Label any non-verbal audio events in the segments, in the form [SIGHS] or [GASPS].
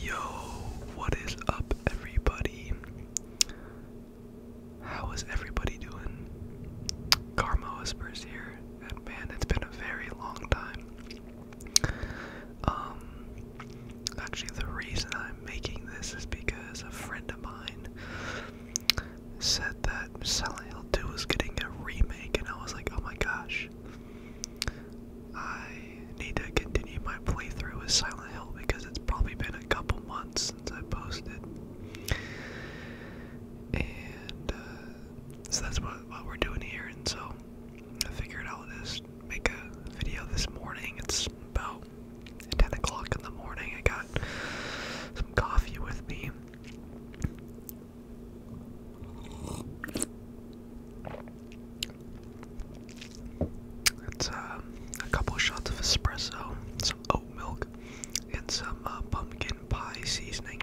Yo, what is up, everybody? How is everybody doing? Karma Whispers here, and man, it's been a very long time. Um, actually, the reason I'm making this is because a friend of mine said that Silent Hill 2 was getting a remake, and I was like, oh my gosh. I need to continue my playthrough with Silent Hill because it's probably been a couple months since I posted. And uh, so that's what, what we're doing here. And so I figured I'll just make a video this morning. It's about 10 o'clock in the morning. I got some coffee with me. That's uh, a couple shots of espresso, some oat milk, and some uh, pumpkin pie seasoning.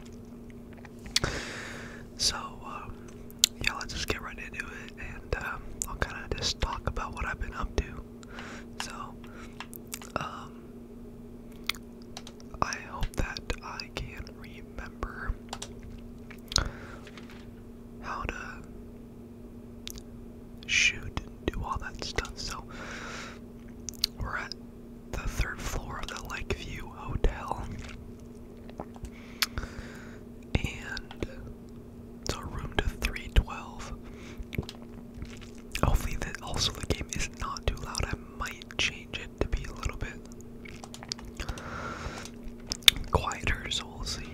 So, um, yeah, let's just get right into it, and um, I'll kind of just talk about what I've been up to. So, um, I hope that I can read remember how to shoot and do all that stuff. So we're at the third floor of the Lakeview Hotel. And so room to 312. Hopefully that also the game is not too loud. I might change it to be a little bit quieter, so we'll see.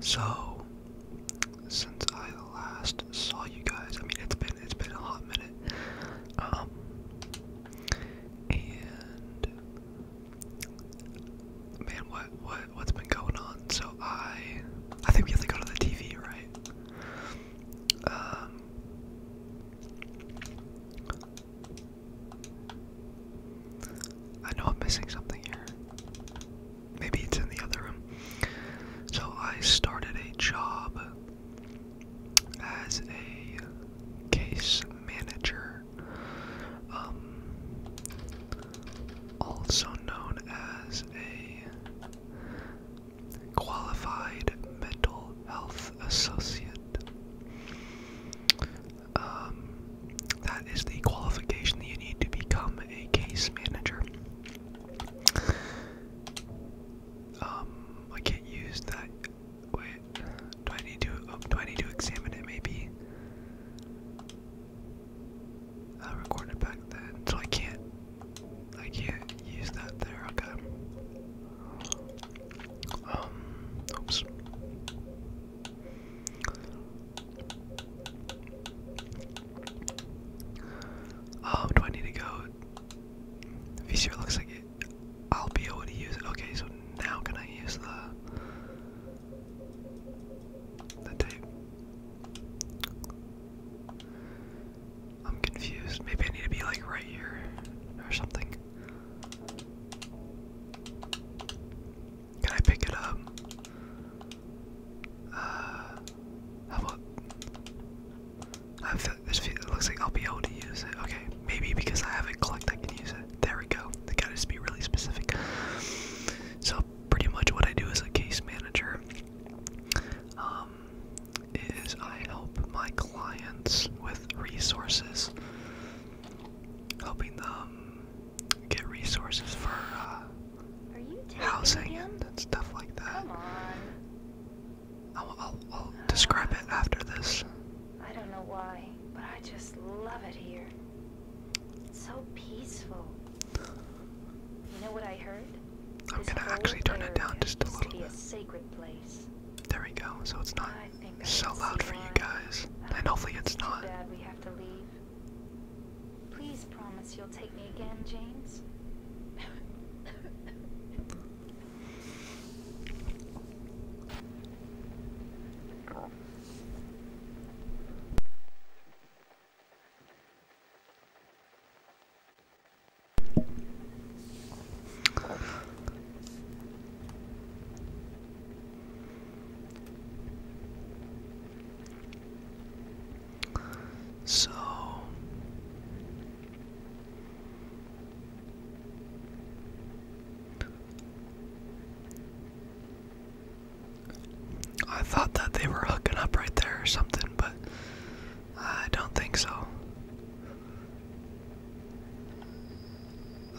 So, since I last saw you guys, I mean it's been it's been a hot minute, um, and man, what what what's been going on? So I I think we have to go to the TV, right? Um, I know I'm missing something here. Maybe it's in the other room. So I started a job as a case manager, um, also known as a qualified mental health associate. Um, that is the qualification that you need to become a case manager. Um, I can't use that. Wait, do I need to? Oh, do I need to examine it? Maybe. I will record it back then, so I can't I can't use that there, okay. Um, oops. Um, do I need to go? VCR looks like it. I'll be able to use it. Okay, so now can I use the the tape? I'm confused. Maybe I need to be like right here or something. Can I pick it up? Uh, how about? I feel, this feel, like I'll be able to use it. Okay, maybe because I haven't clicked, I can use it. There we go. I gotta just be really specific. So pretty much what I do as a case manager. Um, is I help my clients with resources, helping them get resources for uh, housing and stuff like that. I'll, describe it uh, after this. I don't know why, but I just love it here. It's so peaceful. You know what I heard? I'm gonna actually turn it down just a little bit. A there we go. So it's not so loud for you guys, and hopefully it's not. Bad we have to leave. Please promise you'll take me again, James. So I thought that they were hooking up right there or something, but I don't think so.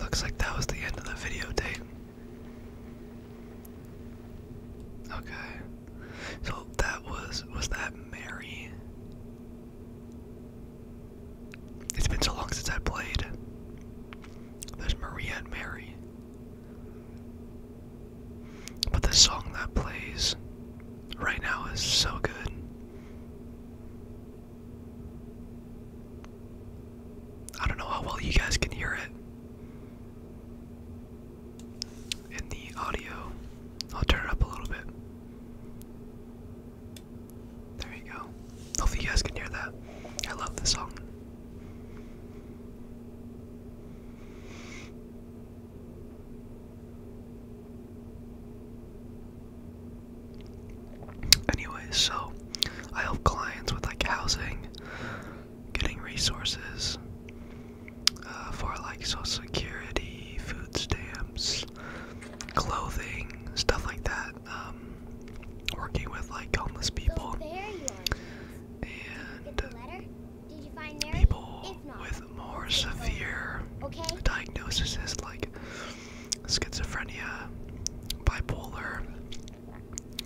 Looks like that was the end of the videotape. Okay. So that was, was that Mary? It's been so long since I played. There's Maria and Mary. But the song that plays right now is so good. I don't know how well you guys can hear it in the audio. I'll turn it up a little bit. There you go. Hopefully, you guys can hear that. I love this song. Anyway, so I help clients with like housing, getting resources uh, for like social security, food stamps, clothing, stuff like that. Um, working with like homeless people so and Did you Did you people with more severe diagnoses like schizophrenia, bipolar.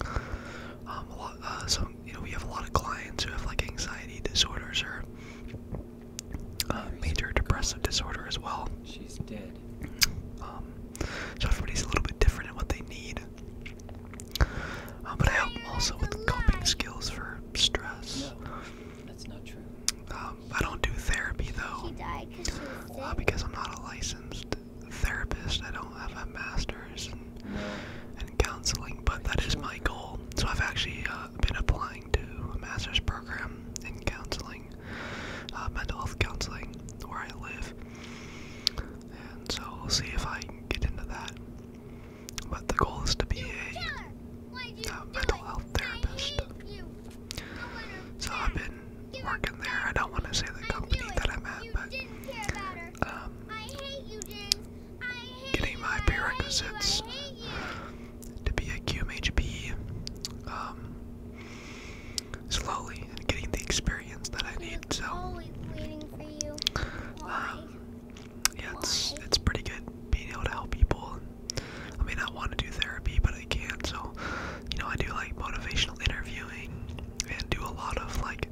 Um, uh, some you know we have a lot of clients who have like anxiety disorders or uh, major depressive disorder as well. She's dead. Um, so everybody's a little bit different in what they need. Uh, but I help also with coping skills for stress. that's not true. Um, I don't do therapy though, uh, because I'm not a licensed therapist. I don't have a master's in, counseling, but that is my goal. So I've actually uh, been applying to a master's program in counseling, uh, mental health counseling, where I live. And so we'll see if I can get into that. But the goal is to be a uh, mental health therapist. So I've been working there. I don't want to say the company that I'm at, but um, getting my prerequisites uh, to be a QMHB um, slowly and getting the experience that I need. So um, yeah, it's it's pretty good being able to help people I may not want to do therapy, but I can't. So, you know, I do like motivational interviewing and do a lot of like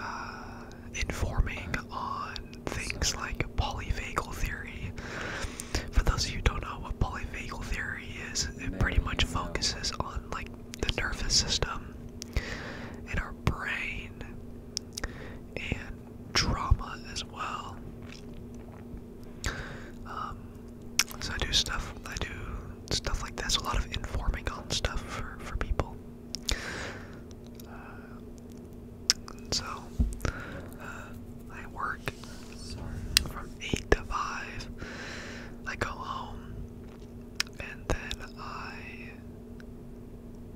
uh, informing on things like polyvagal theory. For those of you don't know what polyvagal theory is, it pretty much focuses on like the nervous system in our brain and drama as well. Um, so I do stuff. I do stuff like this. A lot of informing on stuff for for people. Uh, so uh, I work from eight to five. I go home, and then I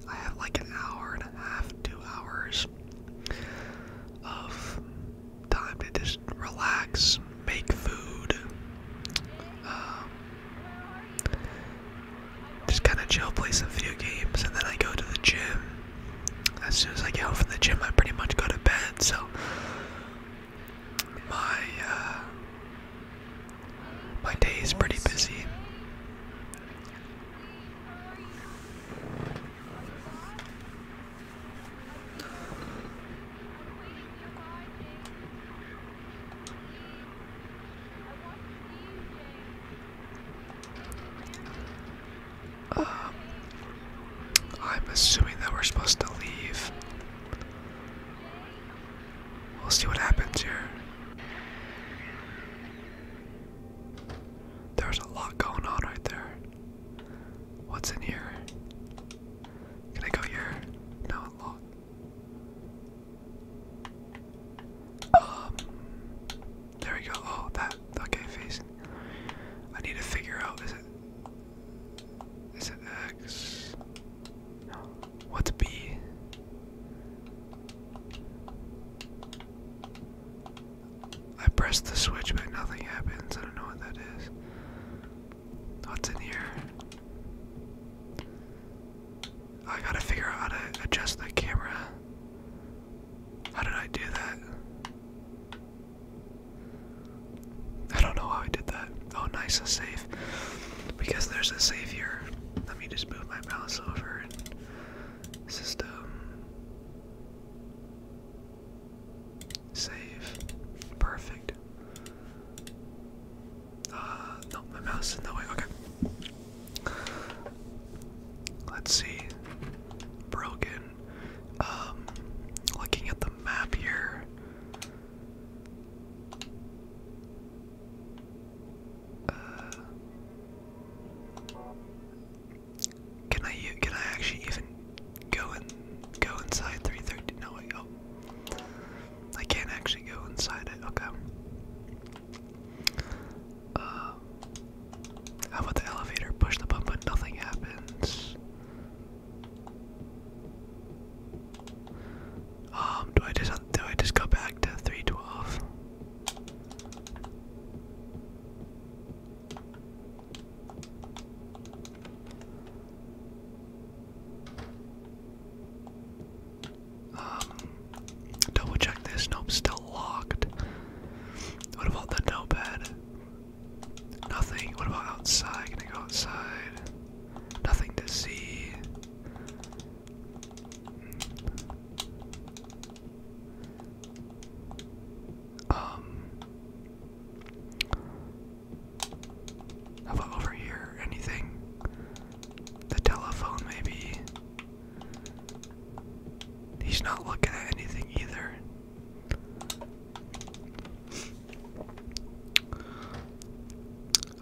I have like an hour and a half, two hours of time to just relax, make food, um, just kind of chill, play some video games, and then I go to the gym. As soon as I get home from the gym, I pretty much go to bed. So my uh, my day is pretty busy. I'm assuming that we're supposed to leave. We'll see what happens here. There's a lot going on right there. What's in here? Can I go here? No, lock. Um, there we go. Oh, that. Okay, facing. I need to figure out. Is it? Is it X? What's B? I pressed the switch, but nothing happens. I don't know what that is. What's oh, in here? Oh, I gotta figure out how to adjust the camera. How did I do that? I don't know how I did that. Oh, nice, a safe. Because there's a safe Let me just move my mouse over and system. Save. Perfect. Ah, no, my mouse is in the way. Okay. Let's see. Broken. Um, looking at the map here. Uh, can I can I actually even go and go inside 330? No, wait, oh. I can't actually go inside it. Okay. Uh, how about the elevator? Push the button, but nothing happens. Um, do I just do I just go back to 312? Um, double check this. Nope, still locked. What about the notepad? Nothing. What about outside? Can I go outside? Nothing to see. Um how about over here? Anything? The telephone, maybe. He's not looking at anything either.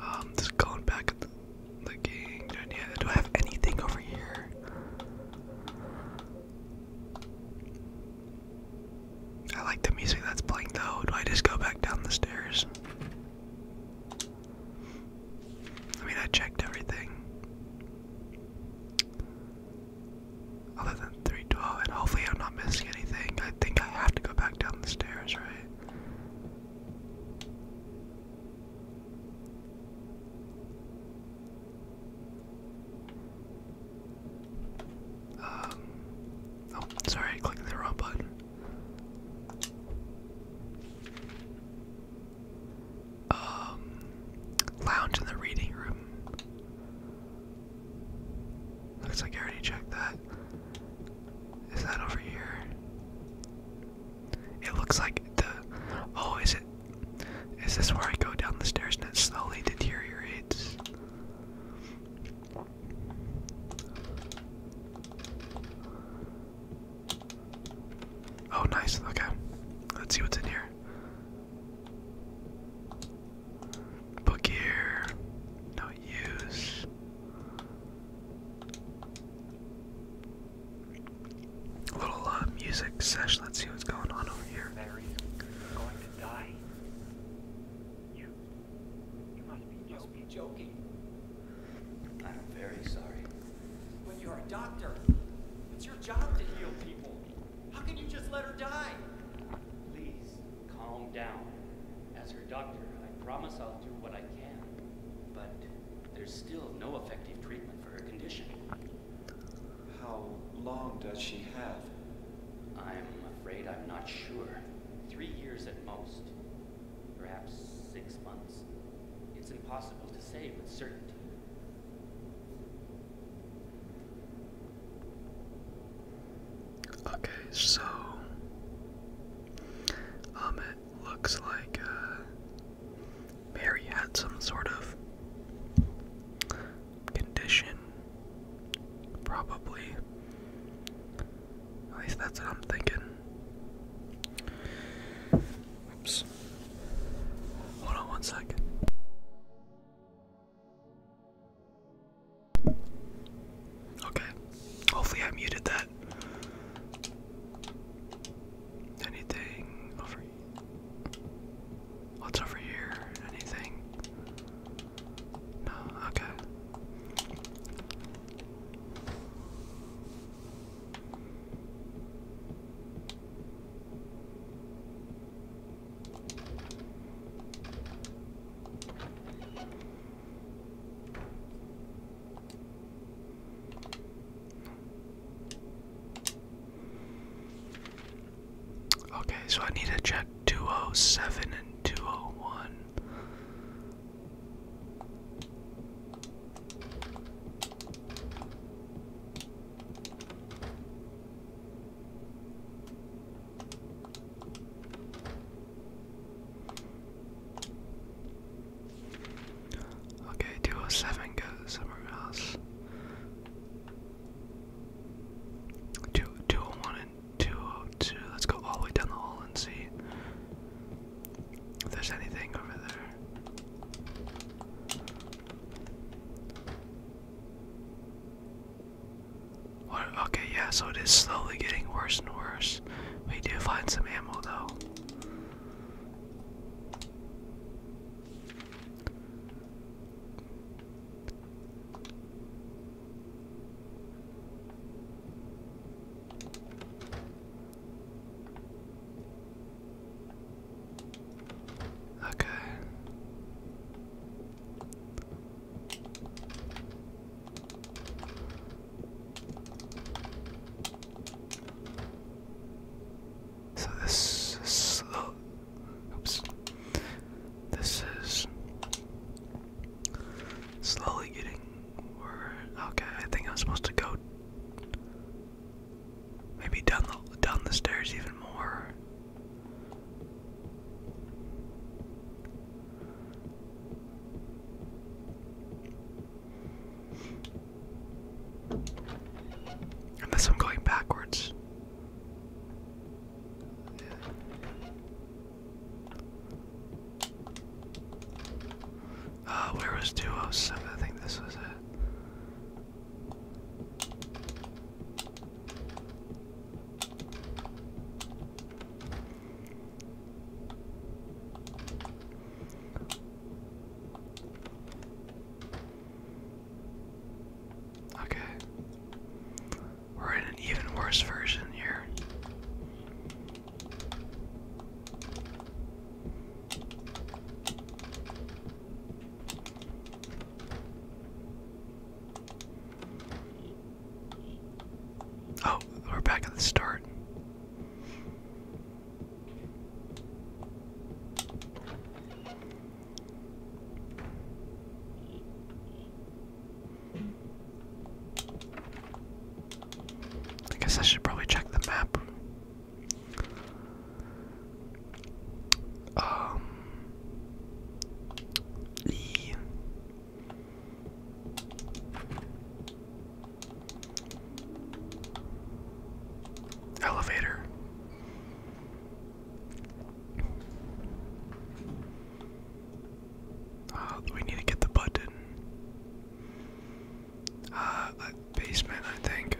Um, just going back at the, the gang. I, do I have anything over here? I like the music that's playing though. Do I just go back down the stairs? I mean, I checked everything. Other than 312, and hopefully I'm not missing anything. I think I have to go back down the stairs, right? Um, oh, sorry, I the wrong button. Um, lounge in the reading room. Looks like I already checked that. Is that over here? It looks like the. Oh, is it? Is this where I go down the stairs and it slowly deteriorates? Oh, nice. Okay. Let's see what's in here. Book here. No use. A little uh, music sesh. Let's see what's going on over here. Mary's going to die. You, you must be, joking. I'm very sorry. When you're a doctor. It's your job to heal people. How can you just let her die? Please calm down. As her doctor, I promise I'll do what I can. But there's still no effective treatment for her condition. How long does she have? I'm afraid I'm not sure. Three years at most. Perhaps six months. It's impossible to say with certainty. Okay, so um, it looks like uh, Mary had some sort of condition, probably. At least that's what I'm thinking. Oops. Hold on one second. Okay. Hopefully I muted that. Anything over What's over here? Anything? No, okay. Okay, so I need to check 207 and 201. Okay, 207 goes somewhere else. Two, two oh one and two oh two. Let's go all the way down the hall and see if there's anything over there. What? Okay, yeah. So it is slowly getting worse and worse. We do find some ammo though. Okay. So this, this Oops. This is slowly getting word. Okay, I think i was supposed to go maybe down the down the stairs even more. Unless I'm going backwards. Oops. Ah, where was 207? I think this was it. Okay. We're in an even worse version here. Oh, we're back at the start. I guess I should probably check the map. Um, e. Elevator. Uh, we need to get the button. Uh, basement, I think.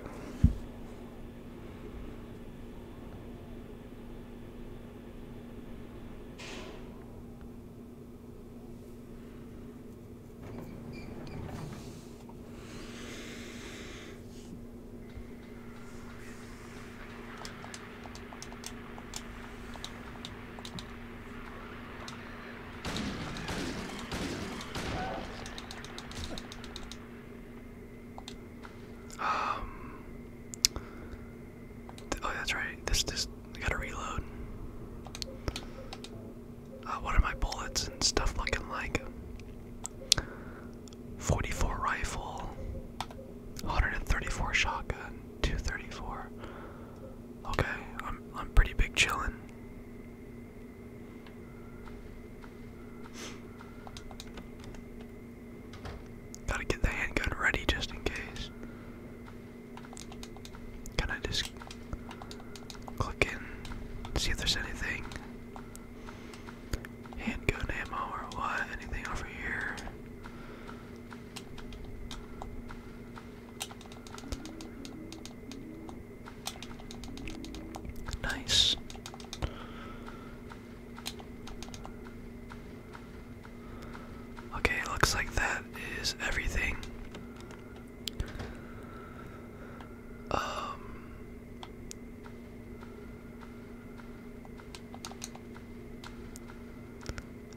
Um. Oh, that's right. This just gotta reload. Uh, what are my bullets and stuff looking like? 44 rifle, 134 shotgun, 234. Okay, I'm I'm pretty big chillin'. Gotta get the handgun ready just in case. Can I just click in, see if there's anything? Handgun ammo or what? Anything over here? Nice. Okay, looks like that is everything. Um,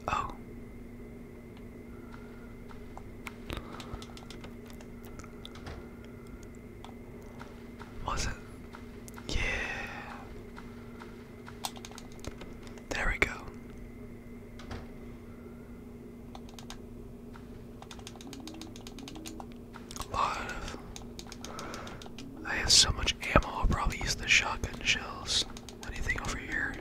oh. Was it? Yeah. There we go. A lot I have so much ammo, I'll probably use the shotgun shells. Anything over here?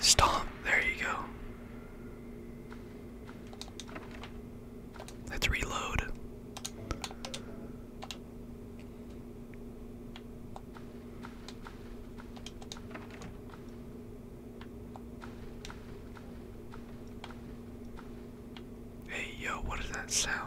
Stomp, there you go. Let's reload. Hey, yo, what is that sound?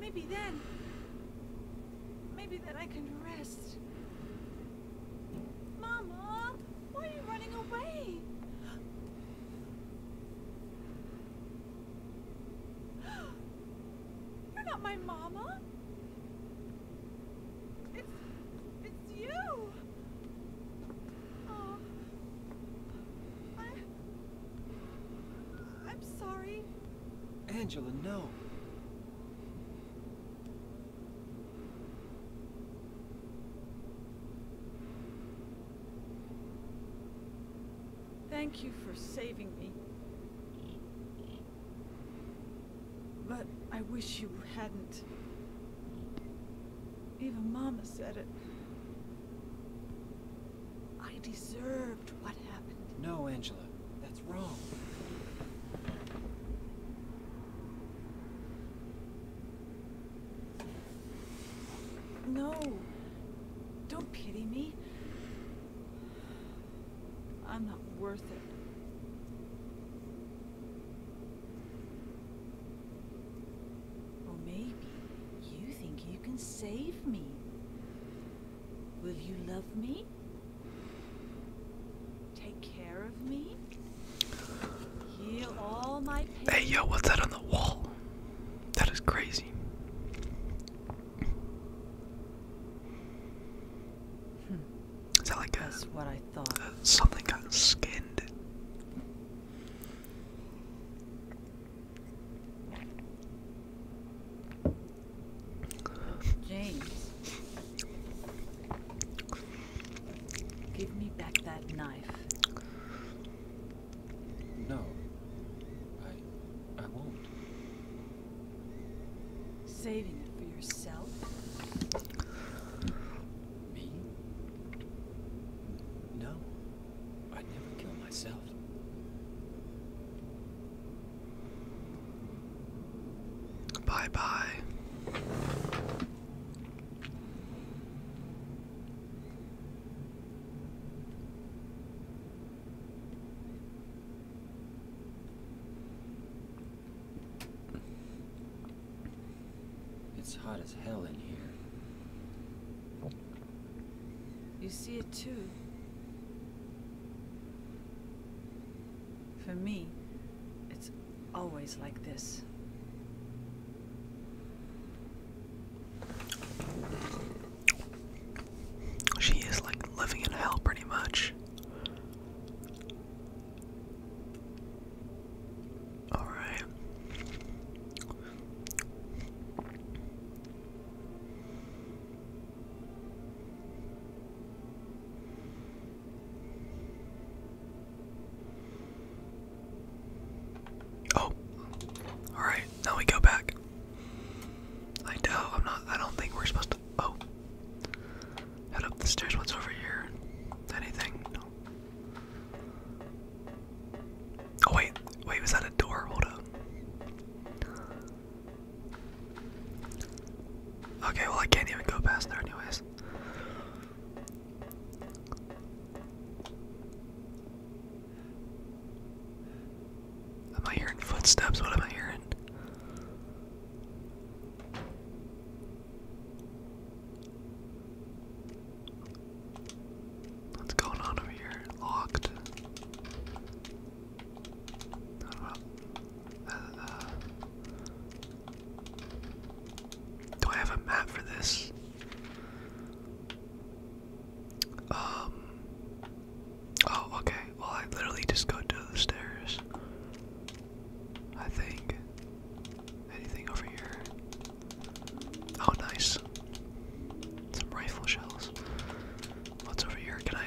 Maybe then... Maybe then I can rest. Mama, why are you running away? [GASPS] You're not my mama. It's... it's you! Oh... I'm sorry. Angela, no. Thank you for saving me. But I wish you hadn't. Even Mama said it. I deserved what happened. No, Angela. That's wrong. No. Don't pity me. I'm not worth it. Or maybe you think you can save me. Will you love me? Take care of me? Heal all my pain. Hey, yo, what's that on the wall? That is crazy. Is that like something got skinned? James, give me back that knife. No, I, I won't. Saving it for yourself? Me? No. I'd never kill myself. Bye bye. It's hot as hell in here. You see it too. For me, it's always like this. She is like living in hell pretty much. Alright. Oh, all right. Now we go back. I doubt I'm not. I don't think we're supposed to. Oh, head up the stairs. What's over here? Anything? Oh wait, wait, was that a door? Hold up. Okay, well I can't even go past there anyways. Am I hearing footsteps? What am I hearing? What's going on over here? Locked. Uh, do I have a map for this? Um. Oh, okay. Well, I literally just go to the stairs. I think. Anything over here? Oh, nice. Some rifle shells. What's over here? Can I.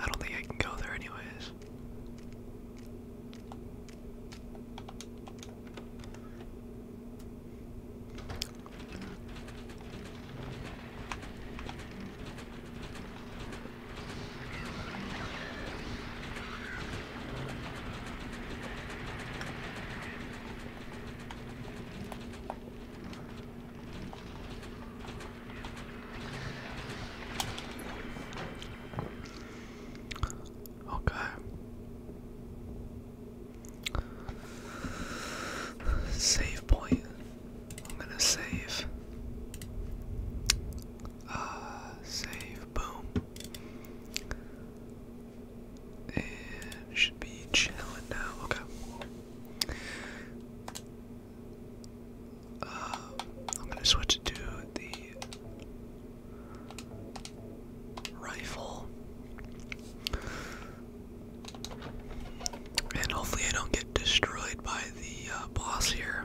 I don't think I can go there, anyways. Okay. Save point. I'm gonna save. Uh, save. Boom. And should be chilling now. Okay. Uh, I'm gonna switch it to the rifle. And hopefully, I don't get destroyed by the uh, boss here.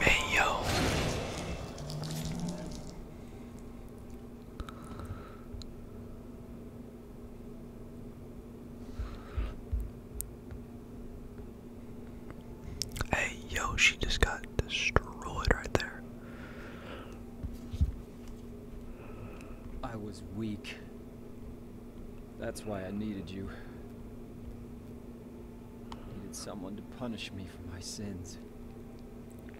Hey yo. Hey yo, she just got destroyed right there. I was weak. That's why I needed you. I needed someone to punish me for my sins. But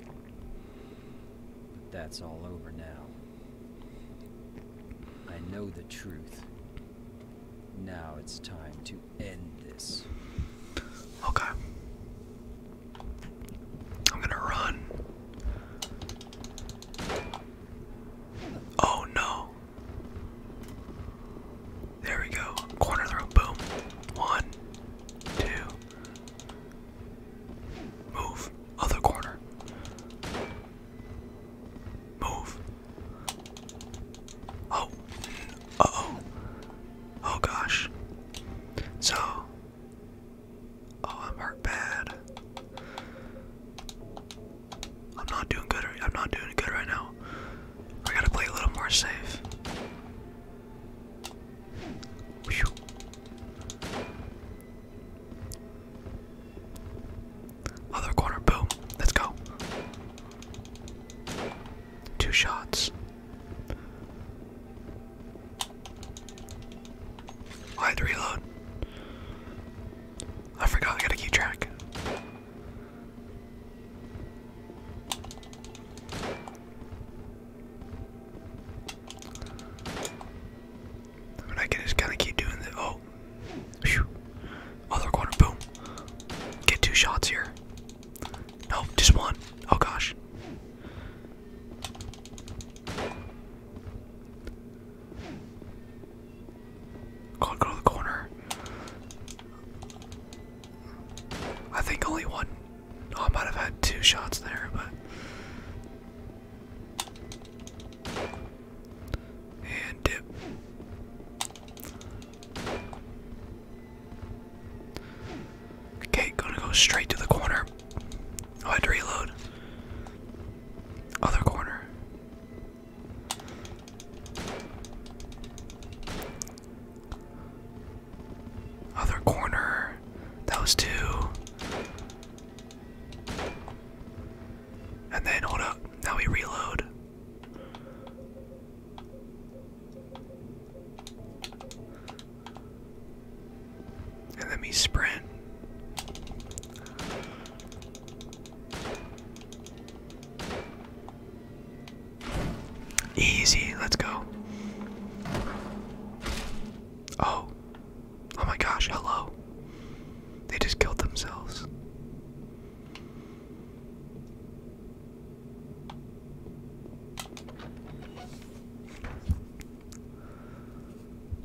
that's all over now. I know the truth. Now it's time to end this. Okay. I'm gonna run. Oh no. There we go. Corner the room. Boom. One. Two. Move. Other corner. Move. Oh. Uh oh. Oh gosh. So. Oh, I'm hurt bad. I'm not doing good. I'm not doing good right now. I gotta play a little more safe. Other corner, boom. Let's go. Two shots. I reload. I forgot I gotta keep track. I can just kind of keep doing the oh, Whew. other corner, boom. Get two shots here. No, just one. Oh gosh. Go, go to the corner. I think only one. Oh, I might have had two shots there, but. And dip. Okay, gonna go straight to the corner. Oh, I had to reload. Other corner. Other corner. That was two. And then hold up. Now we reload. And then we sprint. Easy, let's go. Oh. Oh my gosh, hello. They just killed themselves.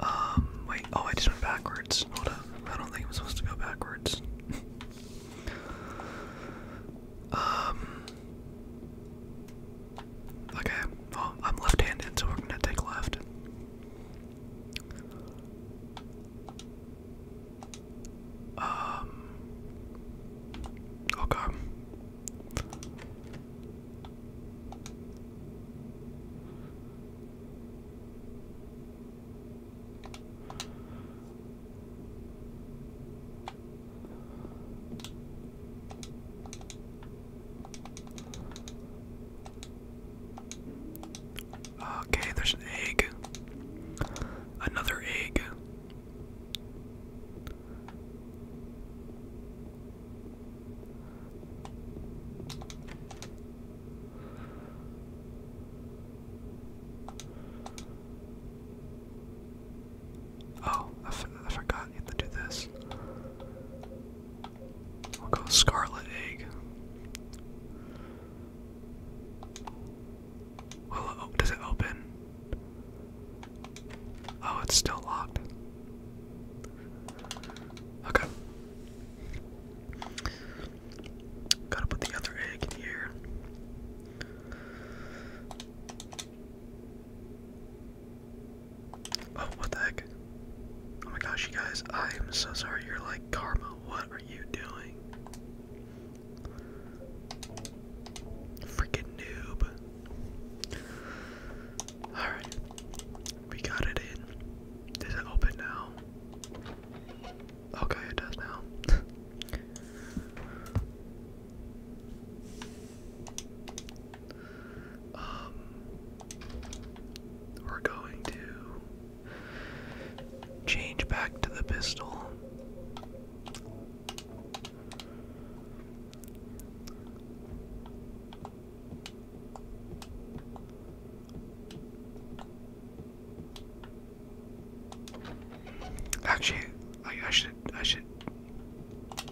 Um, wait, oh, I just went backwards. Hold I don't think I'm supposed to go backwards. [LAUGHS] Um, okay, well, I'm left handed, so we're gonna take left. Um. Okay. Okay, there's an egg. Another egg. Oh, I, forgot you had to do this. We'll go Scarlet Egg. Well, it open? Oh, it's still locked. Okay. Gotta put the other egg in here. Oh, what the heck? Oh my gosh, you guys, I am so sorry. You're like, Karma, what are you doing? Freaking noob. Alright, we got it in. Does it open now? Okay, it does now. [LAUGHS] Um, we're going to change back to the pistol. Actually, I, I should, I should,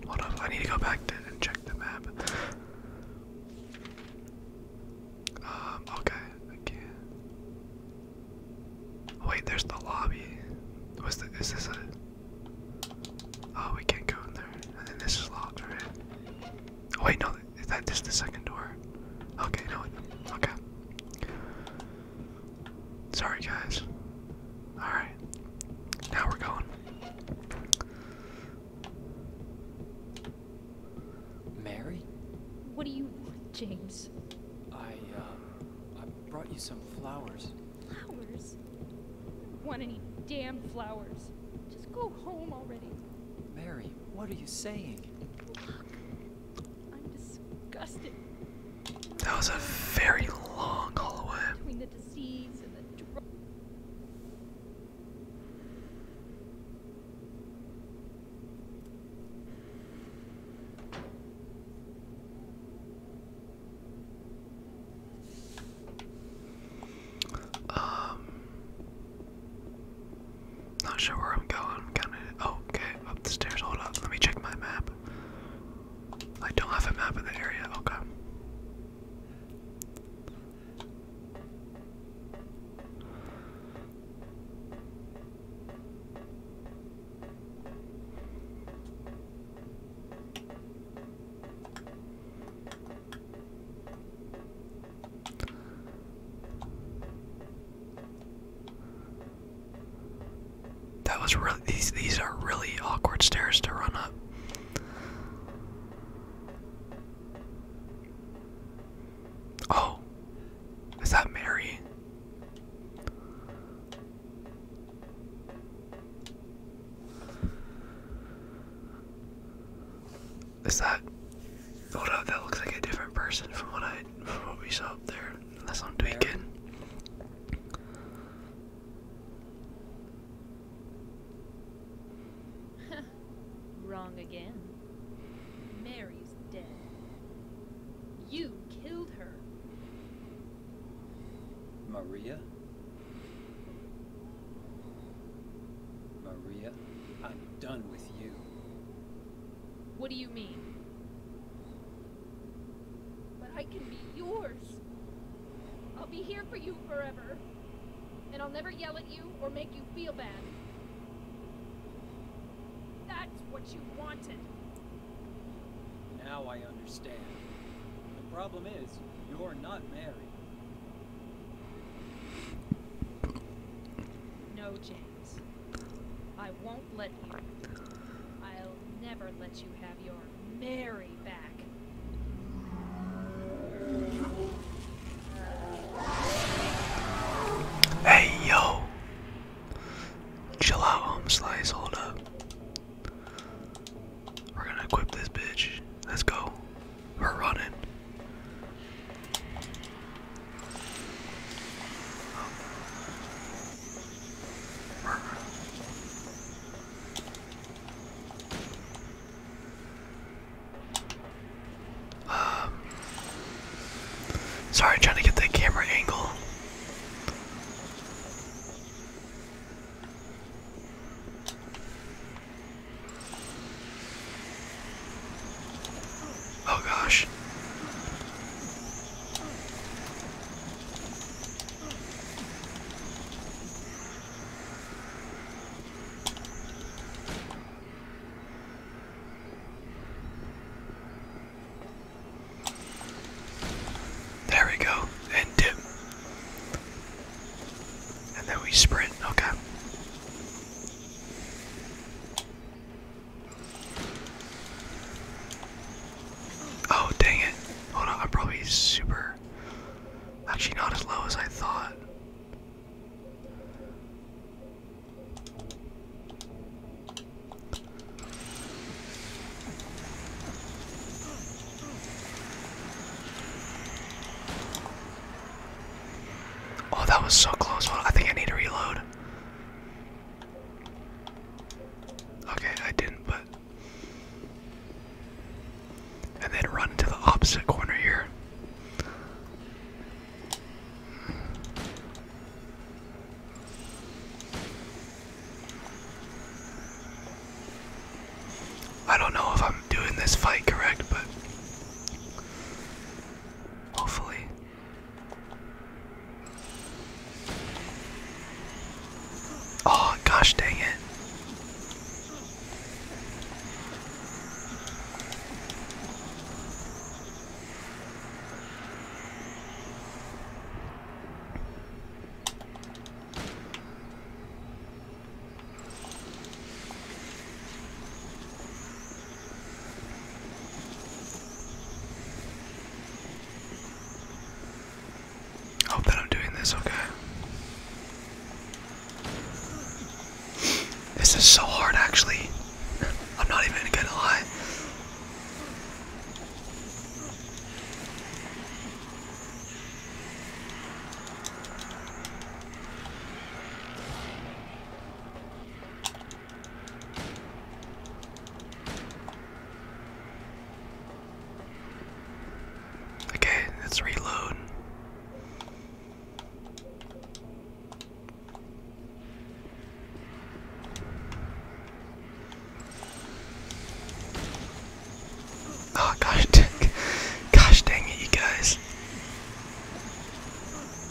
hold up, I need to go back to, and check the map. Um, okay, okay. Wait, there's the lobby. Was the, is this a, oh, we can't go in there. And then this is locked, Oh, wait, no, is that just the second door? Okay, no, okay. Sorry, guys. Alright. Now we're gone. Mary? What do you want, James? I, uh, I brought you some flowers. Flowers? want any damn flowers. Just go home already. Mary, what are you saying? That was a very long hallway. Between the disease and the drug. Um, not sure where I'm going. I'm kind Oh, okay, up the stairs. Hold up. Let me check my map. I don't have a map of the area. Okay. That was really these these are really awkward stairs to run up. Oh. Is that Mary? Is that? Hold up, that looks like a different person from what I from what we saw up there. Unless I'm tweaking. Wrong again. Mary's dead. You killed her. Maria? Maria, I'm done with you. What do you mean? But I can be yours. I'll be here for you forever. And I'll never yell at you or make you feel bad. That's what you wanted. Now I understand. The problem is, you're not married. No, Jane. I won't let you. I'll never let you have your Mary back. Hey yo! Chill out, slice, hold up. We're gonna equip this bitch. Let's go. We're running. Um, sorry, trying to get the camera angle. Oh gosh. There we go, and dip. And then we sprint, okay. Oh, dang it. Hold on, I'm probably super. Actually, not as low as I thought. Oh, that was so close. I think I need to reload. Okay, I didn't, but. And then run to the opposite corner here. I don't know if I'm doing this fight correct, but hopefully. Oh, gosh dang it. Hope that I'm doing this okay. This is so hard, actually. [LAUGHS] I'm not even gonna lie. Okay, let's reload. Oh gosh [LAUGHS] gosh dang it you guys.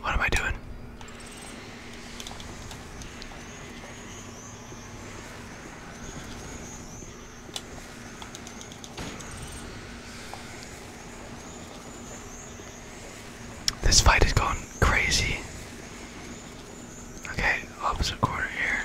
What am I doing? This fight is going crazy. Okay, opposite corner here.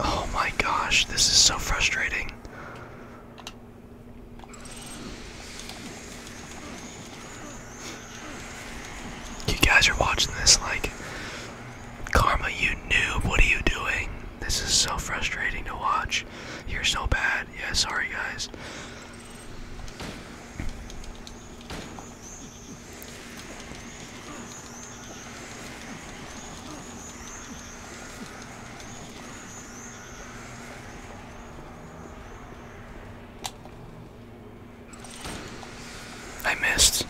Oh my gosh, this is so frustrating. You guys are watching this like, Karma, you noob, what are you doing? This is so frustrating to watch. You're so bad. Yeah, sorry guys. I missed.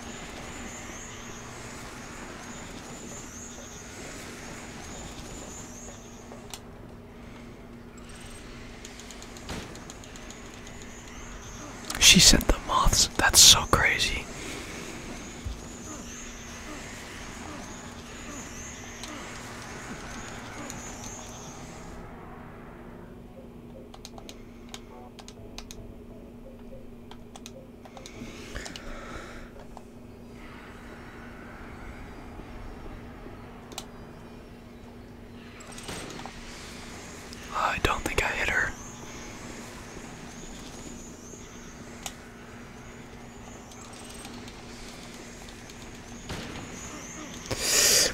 She sent the moths. That's so crazy. Uh, I don't think I hit her.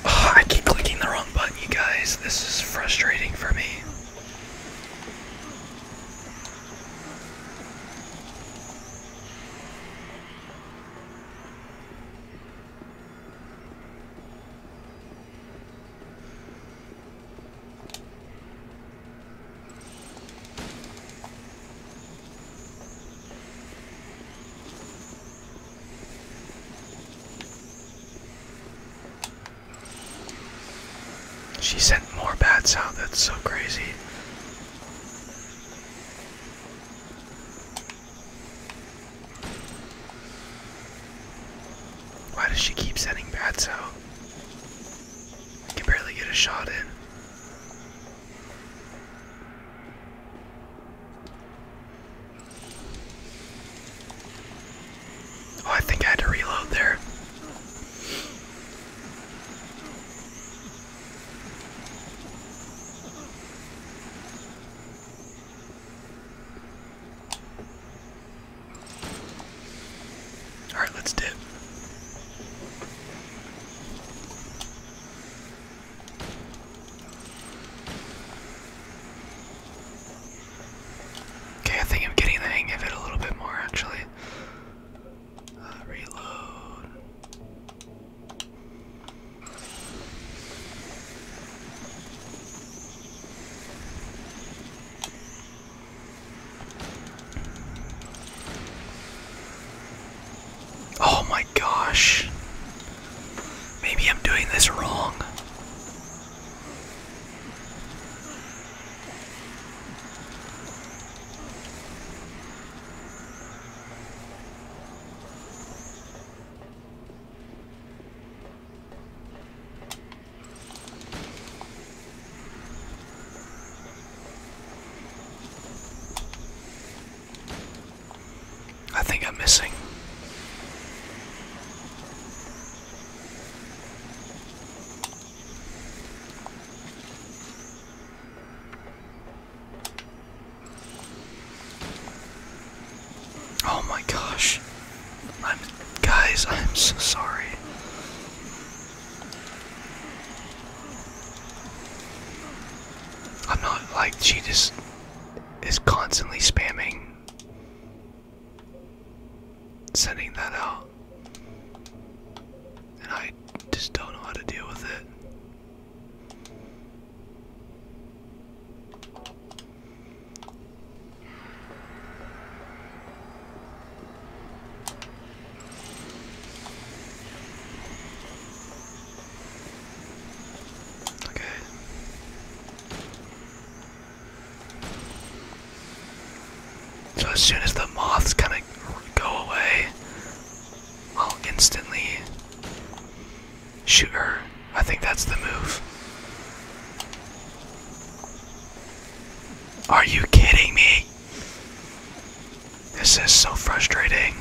[SIGHS] I keep clicking the wrong button, you guys. This is frustrating for me. She sent more bats out, that's so crazy. Why does she keep sending bats out? I can barely get a shot in. Oh, I think I had to reload there. All right, let's dip. Okay, I think I'm getting the hang of it a little bit more actually. Uh, reload. Oh my gosh. Maybe I'm doing this wrong. I think I'm missing. Oh my gosh. I'm guys, I'm so sorry. I'm not like she just is constantly spamming sending that out. And I just don't know how to deal with it. Okay. So as soon as the moths kind of go away, I'll instantly Sure, I think that's the move. Are you kidding me? This is so frustrating.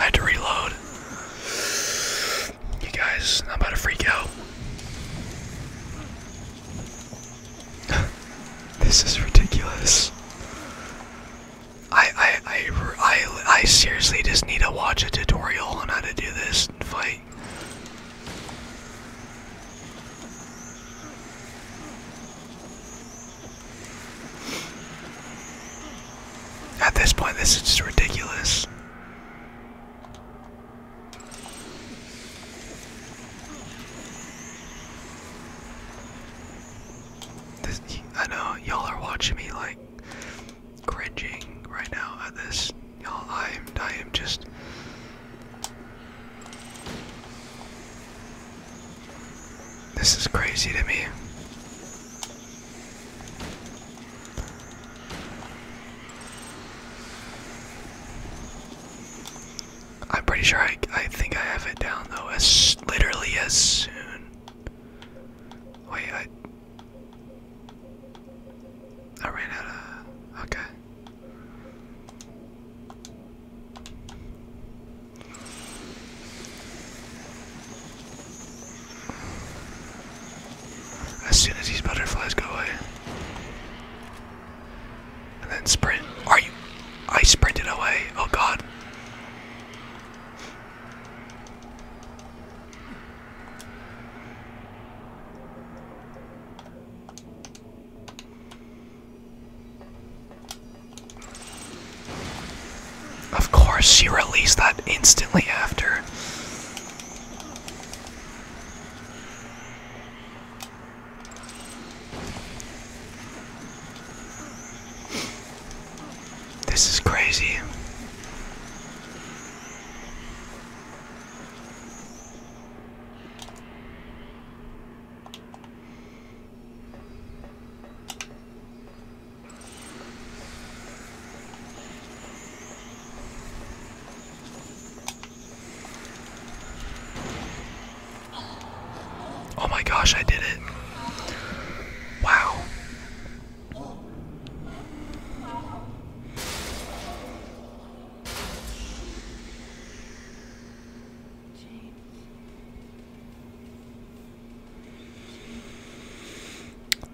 I had to reload. You guys, I'm about to freak out. [LAUGHS] this is ridiculous. I, I, I, I, I seriously just need to watch a tutorial on how to do this fight. At this point, this is just ridiculous. I know y'all are watching me like cringing right now at this. Y'all, I am, I am just. This is crazy to me. I'm pretty sure I, I think I have it down though, as literally as soon. Wait, I, I ran out of. Okay. As soon as these butterflies go away. And then sprint. Are you? I sprinted away. Oh god. Of course, she released that instantly after. This is crazy. Oh my gosh, I did it. Wow.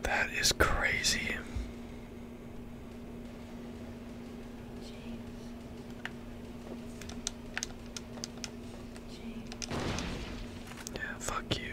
That is crazy. Yeah, fuck you.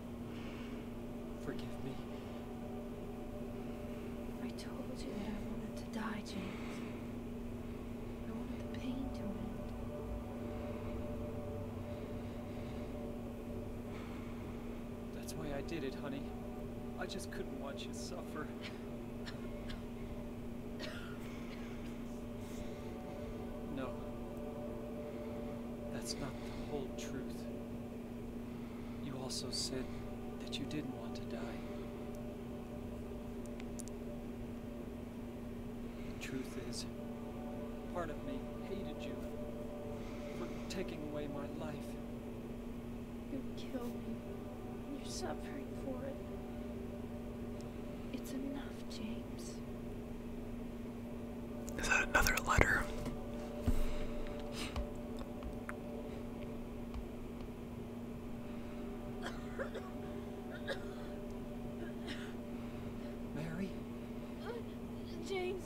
Forgive me. I told you that I wanted to die, James. I wanted the pain to end. That's why I did it, honey. I just couldn't watch you suffer. No. That's not the whole truth. You also said that you didn't want to die. The truth is, part of me hated you for taking away my life. You killed me. You're suffering for it. It's enough, James. Is that another letter? Mary? James.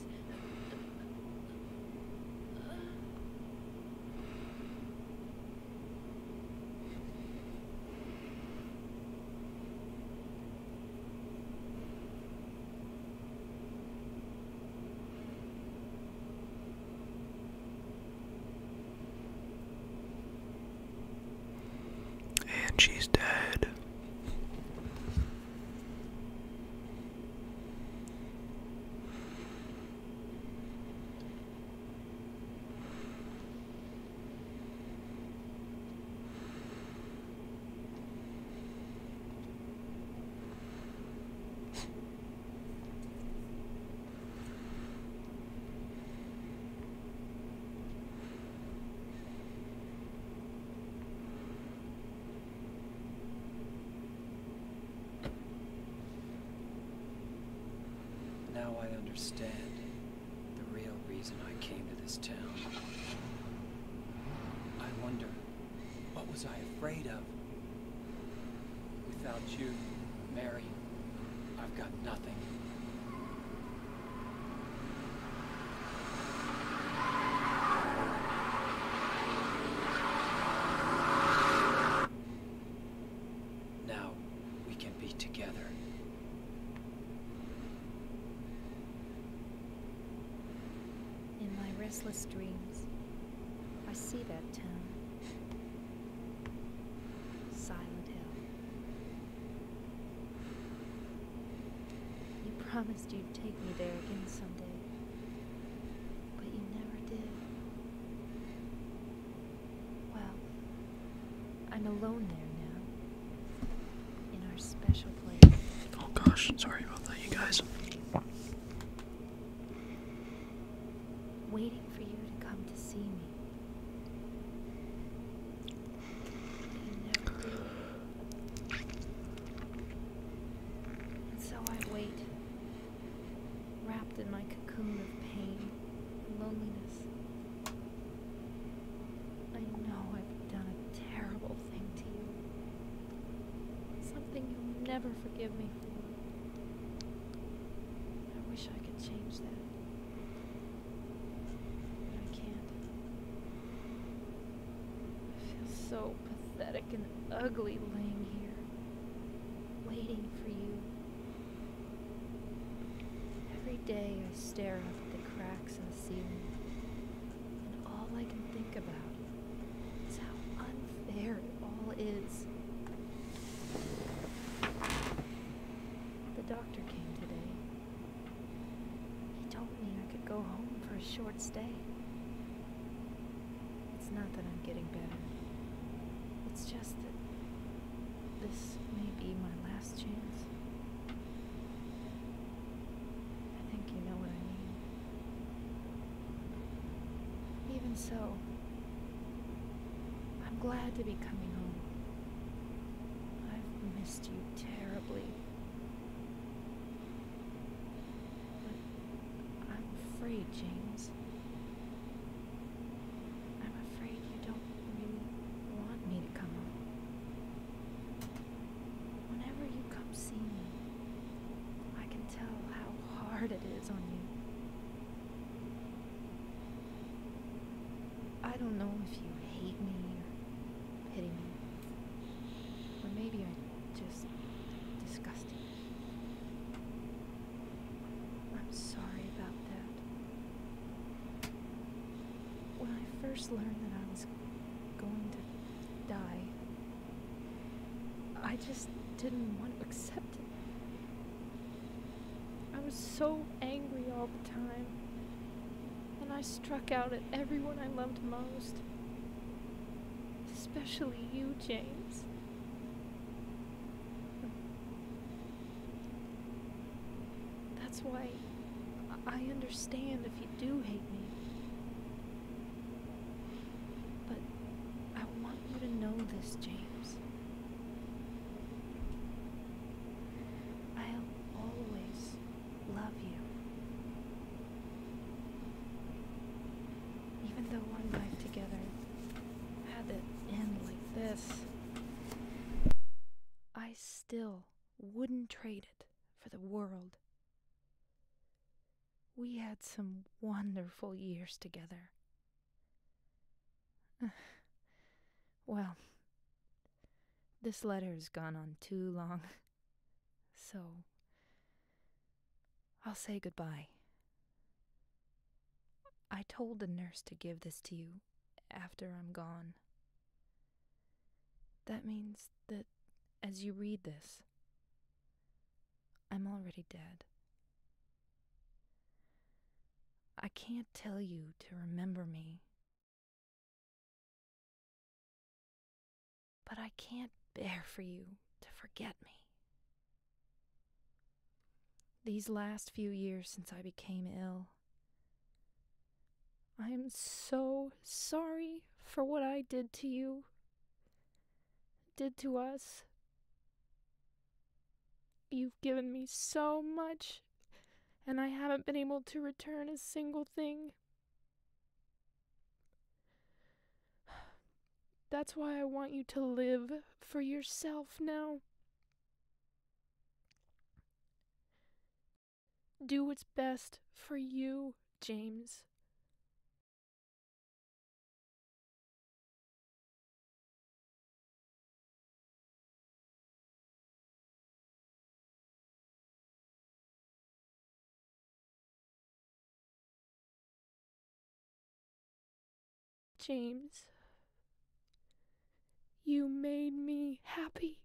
And she's dead. Now I understand the real reason I came to this town. I wonder what was I afraid of? Without you, Mary, I've got nothing. Now, we can be together. In my restless dreams, I see that town. Silent Hill. You promised you'd take me there again someday, but you never did. Well, I'm alone there now, in our special place. Oh gosh, sorry about that, you guys waiting for you to come to see me. You never did. And so I wait, wrapped in my cocoon of pain, and loneliness. I know I've done a terrible thing to you. Something you'll never forgive me for. I wish I could change that. But I can't. I feel so pathetic and ugly laying here, waiting for you. Every day I stare up at the cracks in the ceiling, and all I can think about it's how unfair it all is. The doctor came today. He told me I could go home for a short stay. It's not that I'm getting better. It's just that this may be my last chance. I think you know what I mean. Even so, I'm glad to be coming home. I've missed you terribly. But I'm afraid, James. I'm afraid you don't really want me to come home. Whenever you come see me, I can tell how hard it is on you. I don't know if you hate me pity me, or maybe I just disgust I'm sorry about that. When I first learned that I was going to die, I just didn't want to accept it. I was so angry all the time, and I struck out at everyone I loved most, especially you, James. That's why I understand if you do hate me. But I want you to know this, James. I'll always love you. Even though one life together had to end like this, I still wouldn't trade it for the world. We had some wonderful years together. [SIGHS] well, this letter's gone on too long, [LAUGHS] so I'll say goodbye. I told the nurse to give this to you after I'm gone. That means that as you read this, I'm already dead. I can't tell you to remember me. But I can't bear for you to forget me. These last few years since I became ill, I am so sorry for what I did to you did to us. You've given me so much, and I haven't been able to return a single thing. That's why I want you to live for yourself now. Do what's best for you, James. James, you made me happy.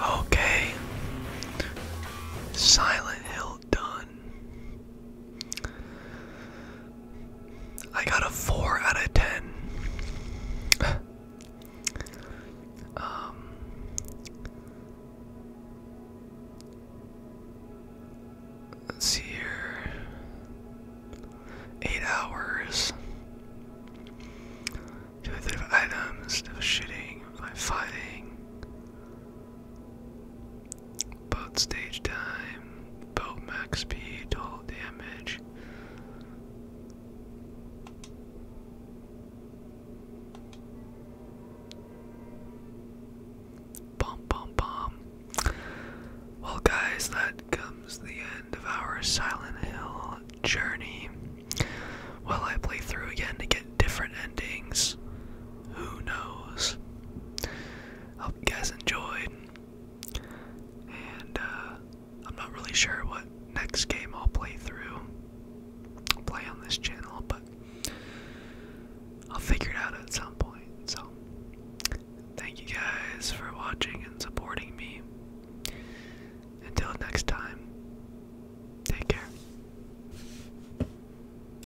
Okay. Silent Hill done. I got a 4 out of 10. [SIGHS] Um, let's see here. 8 hours. Do I have items? No fighting? Boat stage time, boat max speed, total damage. Bum bum bum. Well, guys, that comes the end of our Silent Hill journey. Well, I play through again to get different endings. Who knows? Hope you guys enjoyed. And uh, I'm not really sure what next game I'll play through, I'll play on this channel, but I'll figure it out at some point. So, thank you guys for watching and supporting me. Until next time, take care.